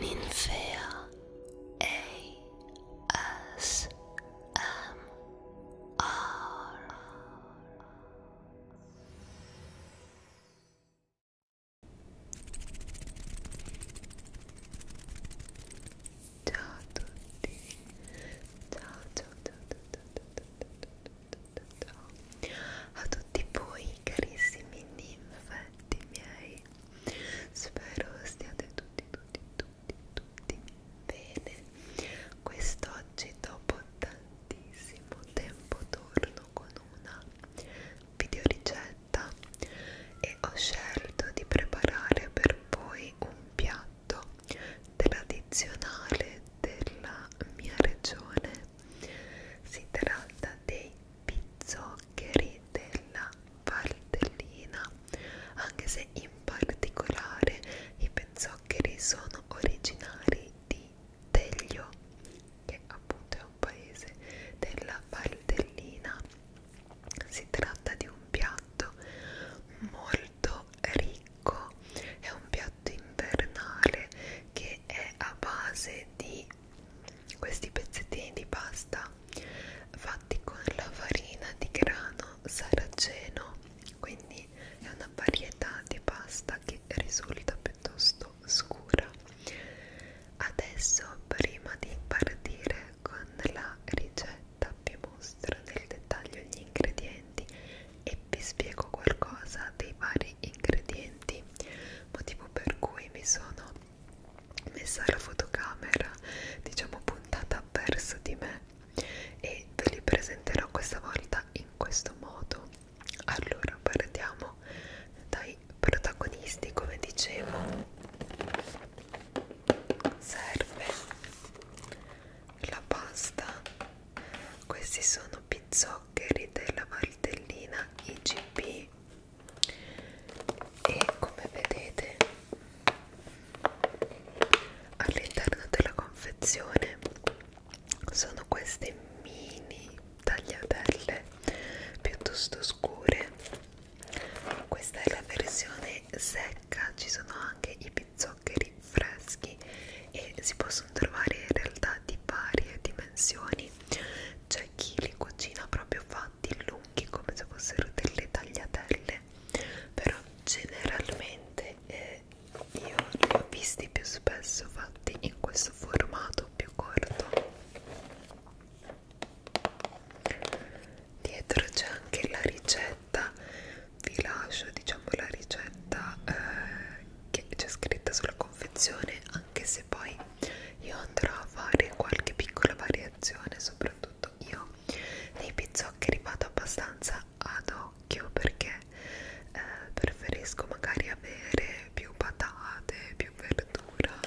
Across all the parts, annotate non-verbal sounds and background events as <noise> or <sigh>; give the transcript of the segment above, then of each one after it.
Ninfea ASMR Ciao a tutti Ciao ciao ciao ciao ciao ciao a tutti voi carissimi ninfetti miei spero stiate tutti tutti tutti tutti bene quest'oggi dopo tantissimo tempo torno con una video ricetta e ho scelto di preparare per voi un piatto tradizionale della mia regione si tratta dei pizzoccheri della Valtellina, anche se in particolare i pizzoccheri sono originari di Teglio, che appunto è un paese della Valtellina. Si tratta di un piatto molto ricco, è un piatto invernale che è a base di questi pezzettini di pasta fatti con la farina di grano saraceno quindi è una varietà di pasta che risulta piuttosto scura adesso prima di partire con la ricetta vi mostro nel dettaglio gli ingredienti e vi spiego qualcosa dei vari ingredienti motivo per cui mi sono messa la fotocamera diciamo puntata verso di me e ve li presenterò questa volta in questo modo allora partiamo dai protagonisti come dicevo serve la pasta questi sono pizzoccheri della martellina IGP e come vedete all'interno della confezione sono queste mini tagliatelle piuttosto scure questa è la versione secca ci sono anche i pizzoccheri freschi e si possono trovare in realtà di varie dimensioni c'è cioè, chi li cucina proprio fatti lunghi come se fossero delle tagliatelle però generalmente eh, io li ho visti più spesso fatti in questo formato più corto dietro c'è anche la ricetta vi lascio diciamo la ricetta eh, che c'è scritta sulla confezione anche se poi io andrò a fare qualche piccola variazione soprattutto io nei pizzoccheri vado abbastanza ad occhio perché eh, preferisco magari avere più patate più verdura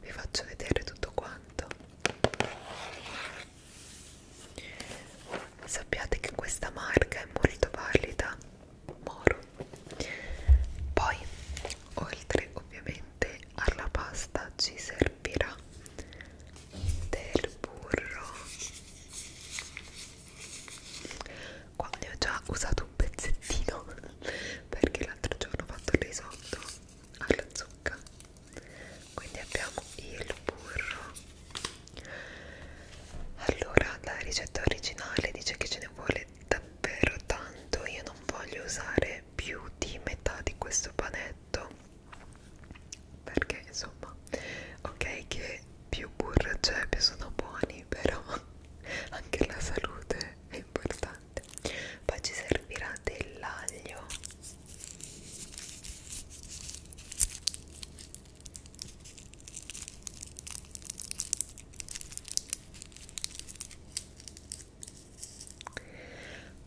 vi faccio vedere tutto quanto sappiate che questa marca è molto valida Moro poi oltre ovviamente alla pasta ci servirà del burro qua ne ho già usato un pezzettino <laughs> perché l'altro giorno ho fatto il risotto alla zucca quindi abbiamo il burro allora la ricetta originale dice che ce ne vuole davvero tanto io non voglio usare più di metà di questo panetto perché insomma ok che più burro c'è più sono buoni però <laughs> anche la salute è importante poi ci servirà dell'aglio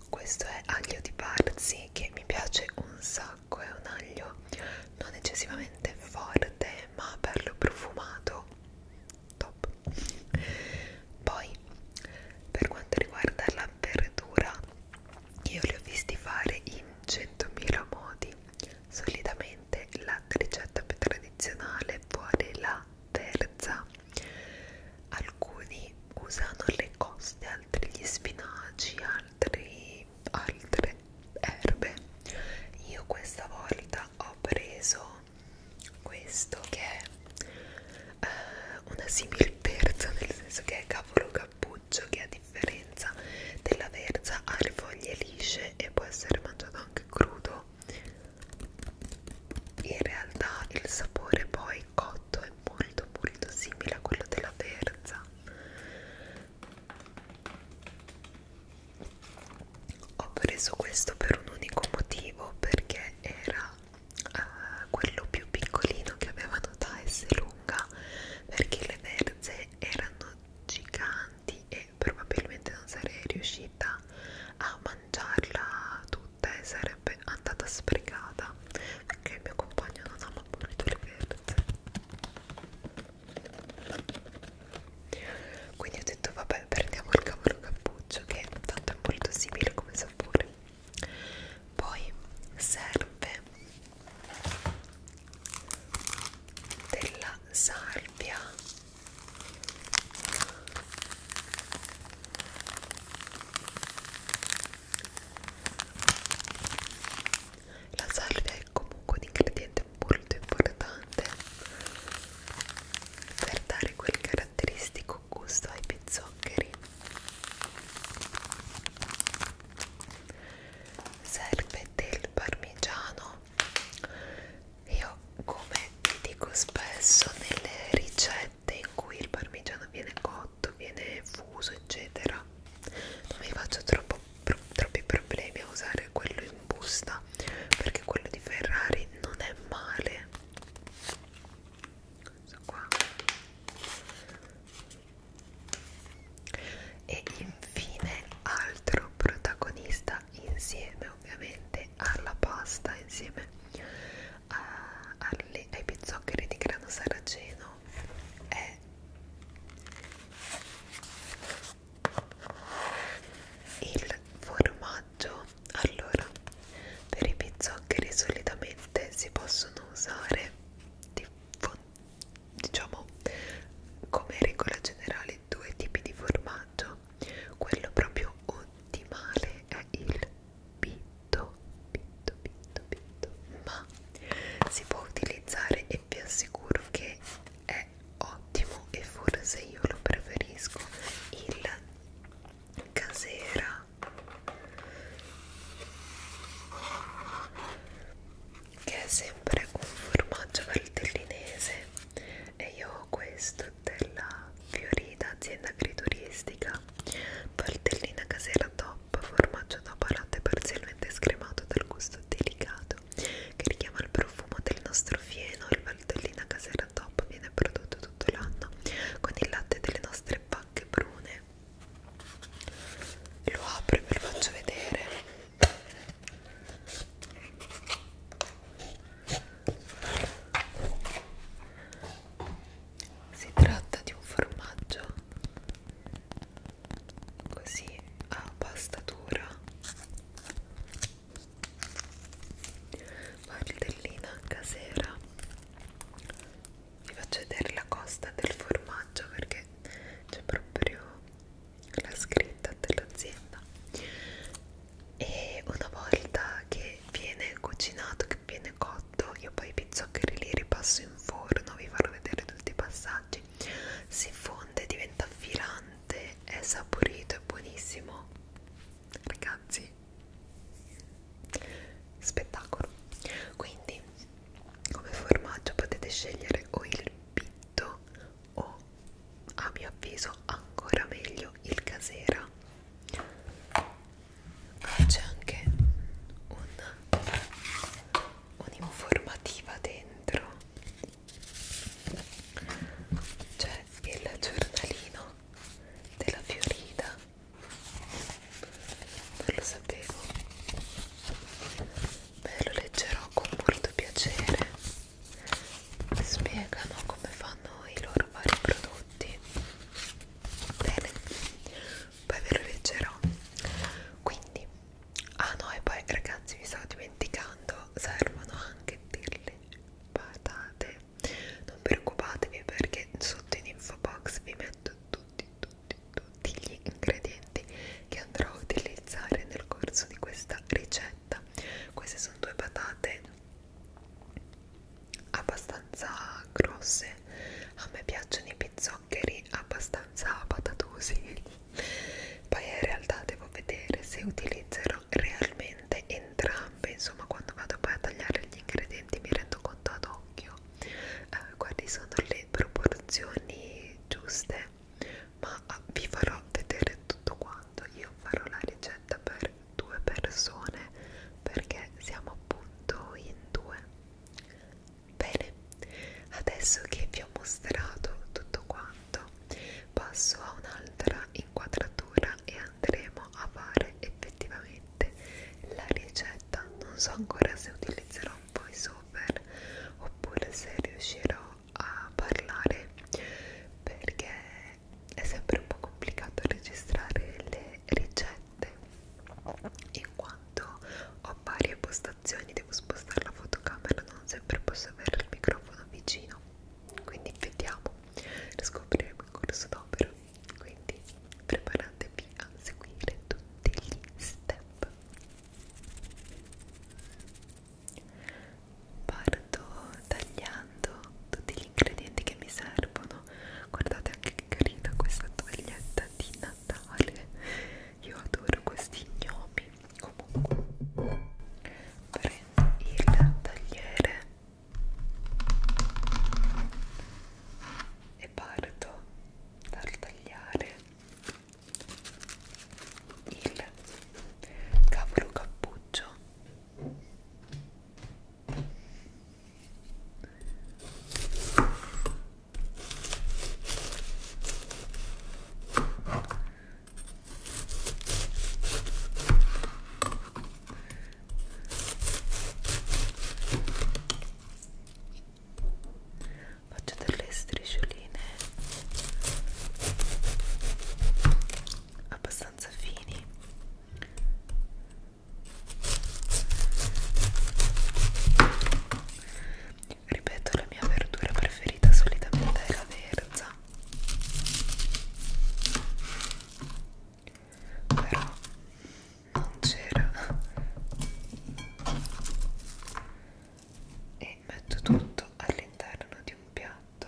questo è aglio di Barzi che mi piace un sacco, è un aglio non eccessivamente forte ma bello profumato, top. Poi per quanto riguarda la verdura, io li ho visti fare in 100.000 modi, solitamente la ricetta più tradizionale vuole la terza alcuni usano le coste altri gli spinaci altri altre erbe io questa volta ho preso questo che è uh, una simil terza nel senso che è cavolo cappuccio che a differenza della verza ha le foglie lisce e può essere mangiato anche crudo in realtà il sapore poi cotto è molto molto simile a quello della verza ho preso questo per un unico motivo perché era uh, quello più piccolino che avevano da S lunga perché le verze erano giganti e probabilmente non sarei riuscita a mangiarla tutta e sarebbe andata sprecata perché il mio compagno non ama molto le verze quindi ho detto vabbè prendiamo il cavolo cappuccio che tanto è molto simile come sapore poi serve della salvia la salvia è comunque un ingrediente molto importante per dare quel caratteristico gusto ai pizzoccheri. Serve del parmigiano io, come vi dico spesso, nelle ricette in cui il parmigiano viene cotto, viene fuso, eccetera, non mi faccio troppo, pro, troppi problemi a usare quello in busta perché quello di Ferrari non è male. Questo qua. E infine, altro protagonista insieme, ovviamente, alla pasta insieme a, eh, alle, ai pizzoccheri di grano saraceno è il formaggio allora per i pizzoccheri solitamente si possono usare di, diciamo come regola generale due tipi di formaggio quello proprio ottimale è il pitto pitto pitto pitto ma si può utilizzare e vi assicuro che è ottimo e forse io lo preferisco il casera che è sempre un formaggio valtellinese e io ho questo della Fiorita azienda agrituristica Valtellina casera top formaggio top latte parzialmente scremato dal gusto delicato che richiama il profumo del nostro fieno il Valtellina casera top viene prodotto tutto l'anno con il latte delle nostre pacche brune lo apro e ve lo faccio vedere si tratta di un formaggio così a pastatura, martellina casera. Vi faccio vedere la costa del formaggio perché c'è proprio la scritta dell'azienda e una volta che viene cucinato, che viene cotto, io poi i pizzoccheri li ripasso in forno, vi farò vedere tutti i passaggi, si fonde, diventa filante, è saporito, è buonissimo, ragazzi, spettacolo. Quindi come formaggio potete scegliere o il pitto o a mio avviso ancora meglio il casera c'è anche un'informativa un dentro c'è il giornalino della Fiorita non lo sapevo Beh, lo leggerò con molto piacere spiegano come fanno i loro vari prodotti bene poi ve lo leggerò quindi ah no e poi ragazzi vi stavo dimenticando servono anche delle patate non preoccupatevi perché sotto in info box vi metto tutti tutti tutti gli ingredienti che andrò a utilizzare nel corso di questa ricetta pancetta queste sono due patate abbastanza grosse a me piacciono i pizzoccheri abbastanza patatosi poi in realtà devo vedere se utilizzerò realmente entrambe insomma quando vado poi a tagliare gli ingredienti mi rendo conto ad occhio eh, quali sono le proporzioni giuste ma ah, vi farò vedere tutto quanto io farò la ricetta per due persone perché siamo appunto in due bene adesso che vi ho mostrato tutto quanto passo a un'altra inquadratura e andremo a fare effettivamente la ricetta non so ancora se utilizzerò un voiceover oppure se riuscirò a parlare perché è sempre un po' complicato registrare le ricette in quanto ho varie postazioni, devo spostare la fotocamera, non sempre posso avere il microfono vicino quindi vediamo, lo scopriremo in corso d'opera quindi preparatevi a seguire tutti gli step parto tagliando tutti gli ingredienti che mi servono guardate anche che carina questa toglietta di Natale io adoro questi gnomi comunque prendo il tagliere e parto dal tagliare il cavolo cappuccio cappuccio faccio delle striscioline abbastanza fini ripeto la mia verdura preferita solitamente è la verza però non c'era e metto tutto all'interno di un piatto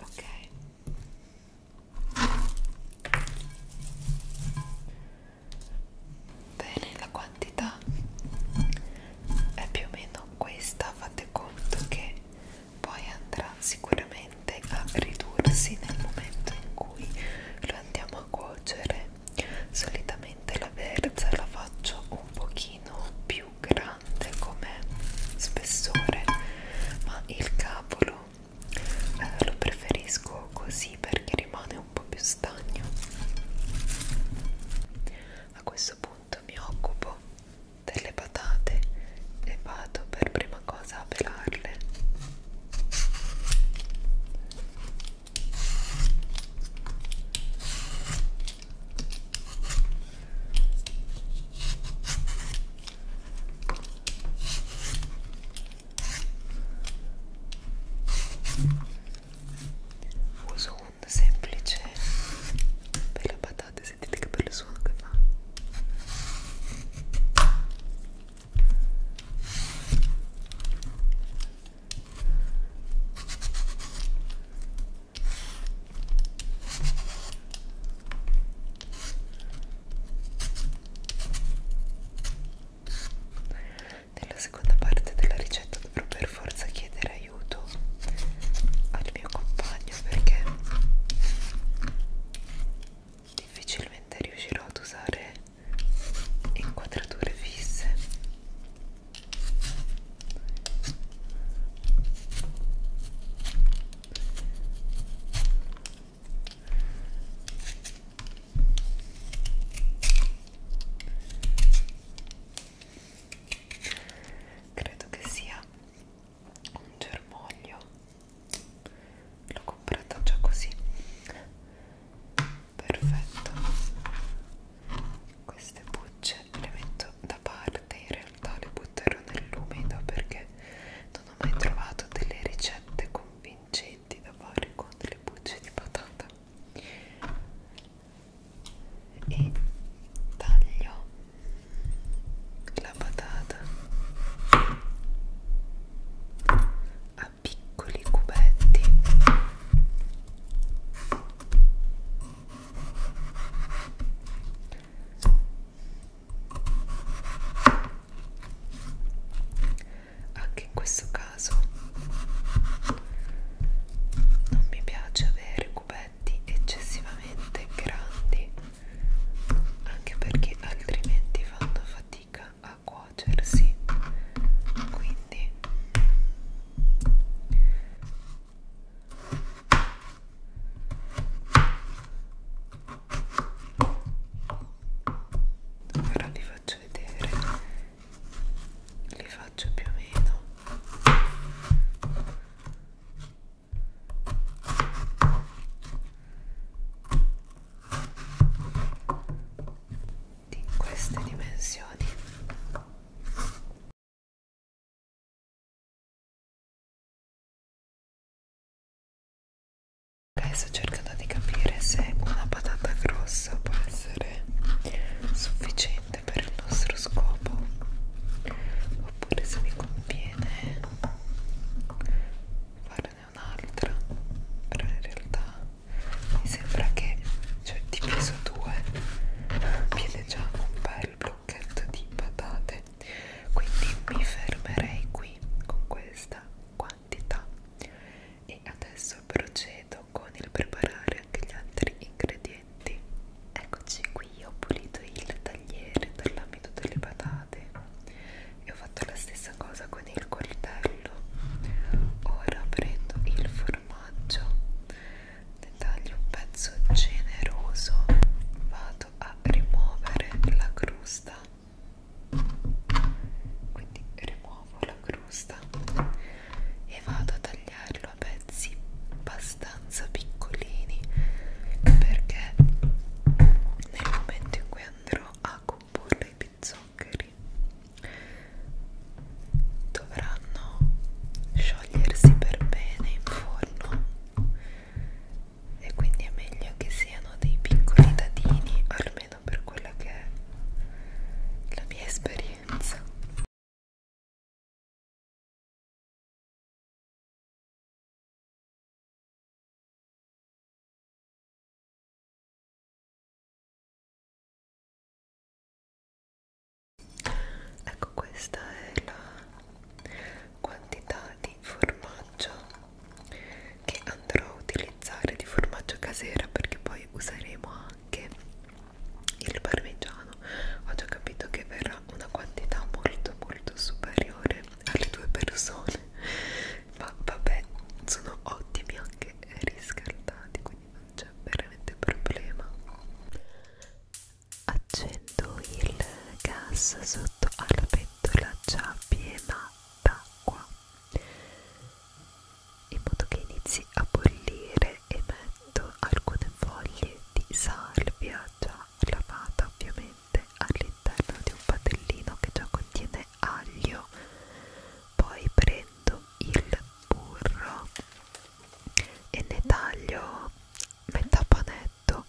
ok bene la quantità è più o meno questa fate conto che poi andrà sicuramente a ridursi nel momento in cui lo andiamo a cuocere solitamente la verza la faccio un pochino più grande come spessore ma il cavolo eh, lo preferisco così perché rimane un po' più stagno a questo punto mi occupo delle patate e vado per prima cosa a pelarle Uso un semplice per le patate, sentite che per il suono che fa. Nella seconda parte della ricetta dovrò per forza chiedere aiuto al mio compagno perché difficilmente riuscirò ad usare inquadrature fisse Credo che sia un germoglio. L'ho comprato già così perfetto queste bucce le metto da parte in realtà le butterò nell'umido perché non ho mai trovato delle ricette convincenti da fare con le bucce di patata e taglio la patata a piccoli cubetti anche in questo caso non mi piace avere cubetti eccessivamente grandi anche perché altrimenti fanno fatica a cuocersi quindi ora li faccio vedere li faccio più o meno di queste dimensioni Adesso ho cercato di capire se una patata grossa può essere sufficiente per il nostro scopo oppure se mi conviene farne un'altra però in realtà mi sembra che cioè diviso due viene già un bel blocchetto di patate quindi mi fermerei qui con questa quantità e adesso procedo con il preparare anche gli altri ingredienti eccoci qui ho pulito il tagliere dall'ambito delle patate e ho fatto la stessa cosa con il coltello ora prendo il formaggio formaggio ne taglio un pezzo generoso vado a rimuovere la crusta quindi rimuovo la crusta e vado a tagliarlo a pezzi abbastanza piccolini perché nel momento in cui andrò a comporre i pizzoni zuccheri dovranno sciogliersi per bene in forno e quindi è meglio che siano dei piccoli dadini almeno per quella che è la mia esperienza Ecco questa è la quantità di formaggio che andrò a utilizzare di formaggio casera perché poi useremo anche il parmigiano. Ho già capito che verrà una quantità molto molto superiore alle due persone ma vabbè sono ottimi anche riscaldati quindi non c'è veramente problema accendo il gas sotto alla pentola già piena d'acqua in modo che inizi a bollire e metto alcune foglie di salvia già lavata ovviamente all'interno di un padellino che già contiene aglio poi prendo prendo il burro e ne taglio metà panetto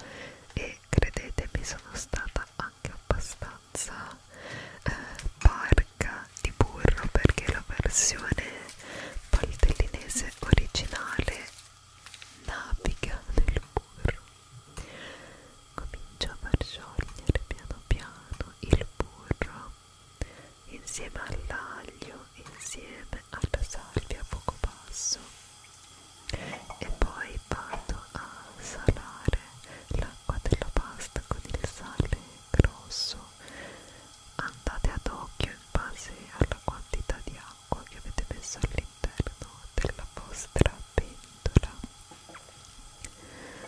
e credetemi sono stata anche abbastanza eh, parca di burro perché la versione paltellinese originale naviga nel burro comincio a far sciogliere piano piano il burro insieme all'aglio, insieme alla salvia a fuoco basso e poi vado a salare l'acqua della pasta con il sale grosso andate ad occhio in base alla quantità di acqua che avete messo all'interno della vostra pentola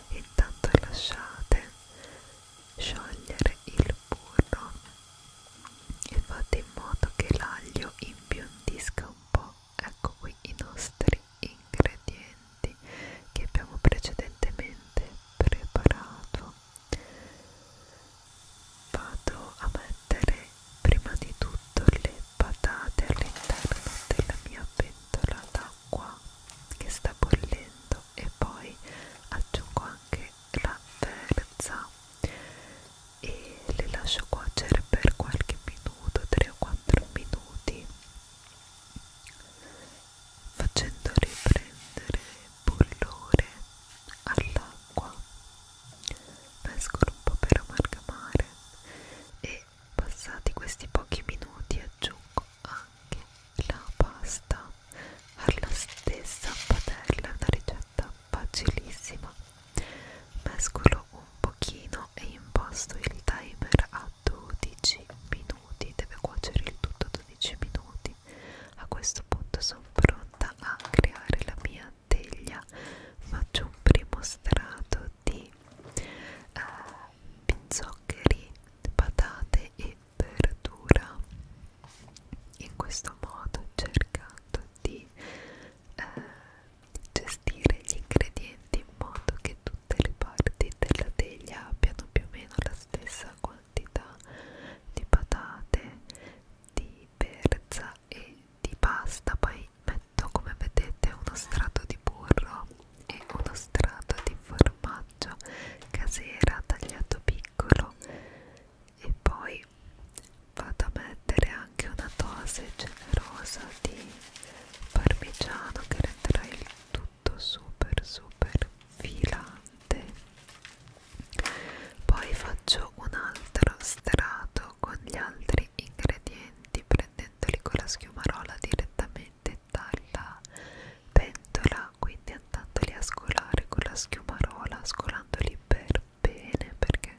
intanto lasciate sciogliere il burro e fate in modo che l'aglio imbiondisca un po' ecco qui i nostri ingredienti che abbiamo precedentemente preparato vado a mettere prima di tutto le patate all'interno della mia pentola d'acqua che sta bollendo e poi aggiungo anche la terza e le lascio cuocere per qualche minuto 3 o 4 minuti facendo riprendere bollore all'acqua mescolo un po' per amalgamare e passati questi pochi minuti aggiungo anche la pasta alla stessa padella, una ricetta facilissima. Mescolo un pochino e imposto il timer a 12 minuti, deve cuocere il tutto 12 minuti. A questo punto sono pronta a creare la mia teglia. Faccio un primo strato di eh, pinzoccheri, patate e verdura in questo modo cercando di eh, gestire gli ingredienti in modo che tutte le parti della teglia abbiano più o meno la stessa quantità di patate, di verza e di pasta poi metto come vedete uno strato di burro e uno strato di formaggio casera tagliato piccolo e poi vado a mettere anche una dose generosa di parmigiano che renderà il tutto super super filante poi faccio un altro strato con gli altri ingredienti prendendoli con la schiumarola direttamente aspettare la pentola quindi andandoli a scolare con la schiumarola scolandoli per bene perché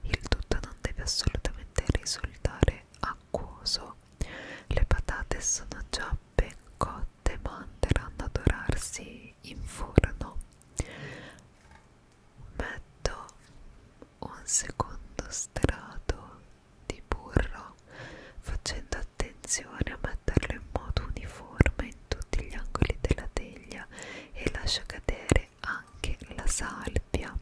il tutto non deve assolutamente risultare acquoso le patate sono già ben cotte ma andranno a dorarsi in forno metto un secondo strato di burro, facendo attenzione a metterlo in modo uniforme in tutti gli angoli della teglia e lascio cadere anche la salvia.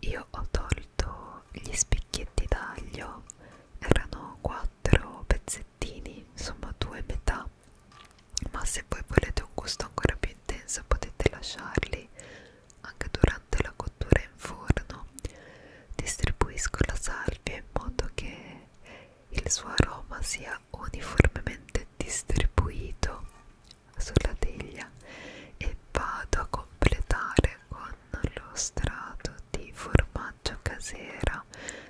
Io ho tolto gli spicchietti d'aglio, erano quattro pezzettini, insomma due metà, ma se voi volete un gusto ancora più intenso potete lasciarli anche durante la cottura in forno distribuisco la salvia in modo che il suo aroma sia uniformemente distribuito sulla teglia e vado a completare con lo strato di formaggio casera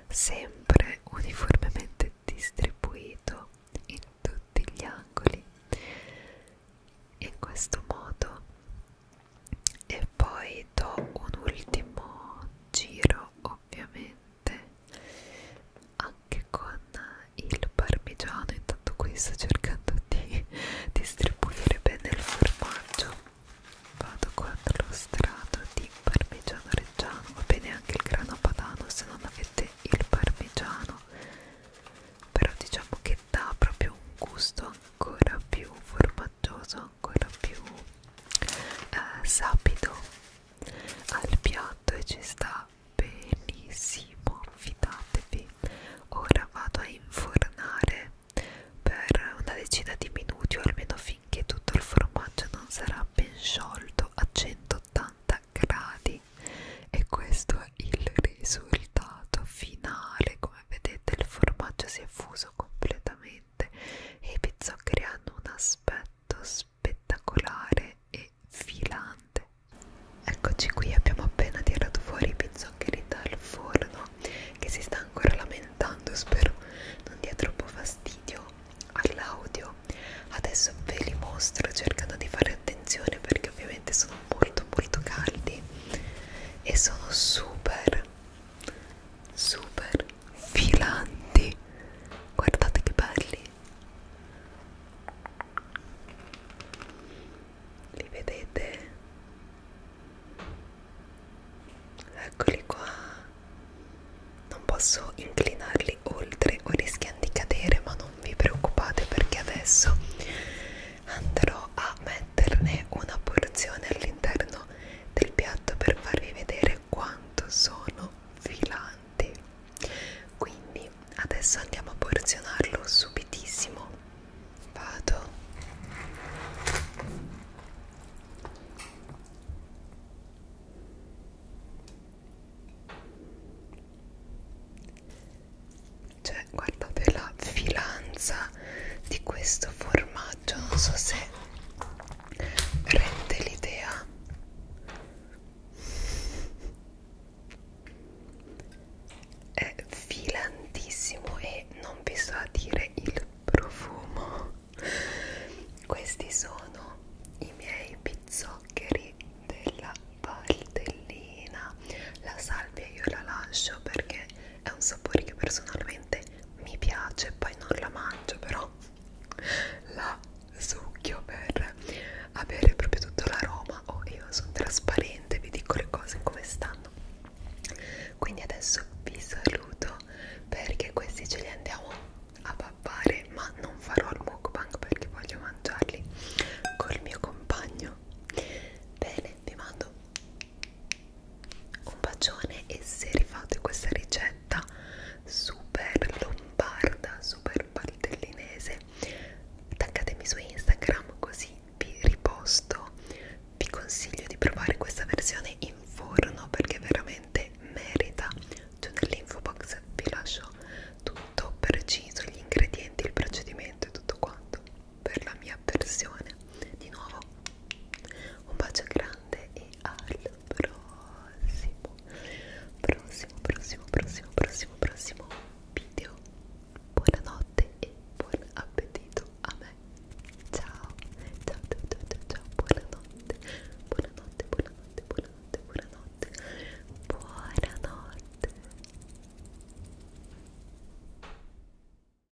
sempre uniformemente distribuito in tutti gli angoli in questo modo e poi do un ultimo giro ovviamente anche con il parmigiano intanto qui sto cercando di distribuire bene il formaggio vado quando lo strato di parmigiano reggiano va bene anche il grano padano se non avete il parmigiano però diciamo che dà proprio un gusto ancora più formaggioso vantaggioso ancora più eh, sapido al piatto e ci sta benissimo fidatevi ora vado a infornare per una decina di minuti o almeno finché tutto il formaggio non sarà ben sciolto a 180 gradi e questo è il risultato finale come vedete il formaggio si è fuso completamente veramente e i pizzoccheri hanno un aspetto spettacolare e filante eccoci qui abbiamo appena tirato fuori i pizzoccheri dal forno che si sta ancora lamentando spero non dia troppo fastidio all'audio adesso ve li mostro cercando di fare attenzione perché ovviamente sono molto molto caldi e sono super super filanti guardate che belli li vedete eccoli qua non posso inclinarli oltre o rischiano di cadere ma non vi preoccupate perché adesso andrò a mettere una porzione all'interno del piatto per farvi vedere quanto sono filanti quindi adesso andiamo a porzionarlo subitissimo vado cioè guardate la filanza di questo formaggio non so se rende l'idea è filantissimo e non vi so dire il profumo questi sono i miei pizzoccheri della paldellina la salvia io la lascio perché è un sapore che personalmente mi piace poi non la mangio però la succhio per avere proprio tutto l'aroma o oh, io sono trasparente vi dico le cose come stanno quindi adesso vi saluto perché questi ce li andiamo a pappare ma non farò il mukbang perché voglio mangiarli col mio compagno bene vi mando un bacione e se rifate questa ricetta super lombarda, super baltellinese, taggatemi su Instagram così vi riposto. Vi consiglio di provare questa versione in forno perché veramente merita. Giù nell'info box vi lascio tutto preciso, gli ingredienti, il procedimento e tutto quanto per la mia avversione. Di nuovo, un bacio grande e al prossimo, prossimo, prossimo, prossimo, prossimo, prossimo video. Buonanotte e buon appetito a me. Ciao, ciao, ciao, ciao, ciao, ciao. buonanotte, buonanotte, buonanotte, buonanotte, buonanotte, buonanotte.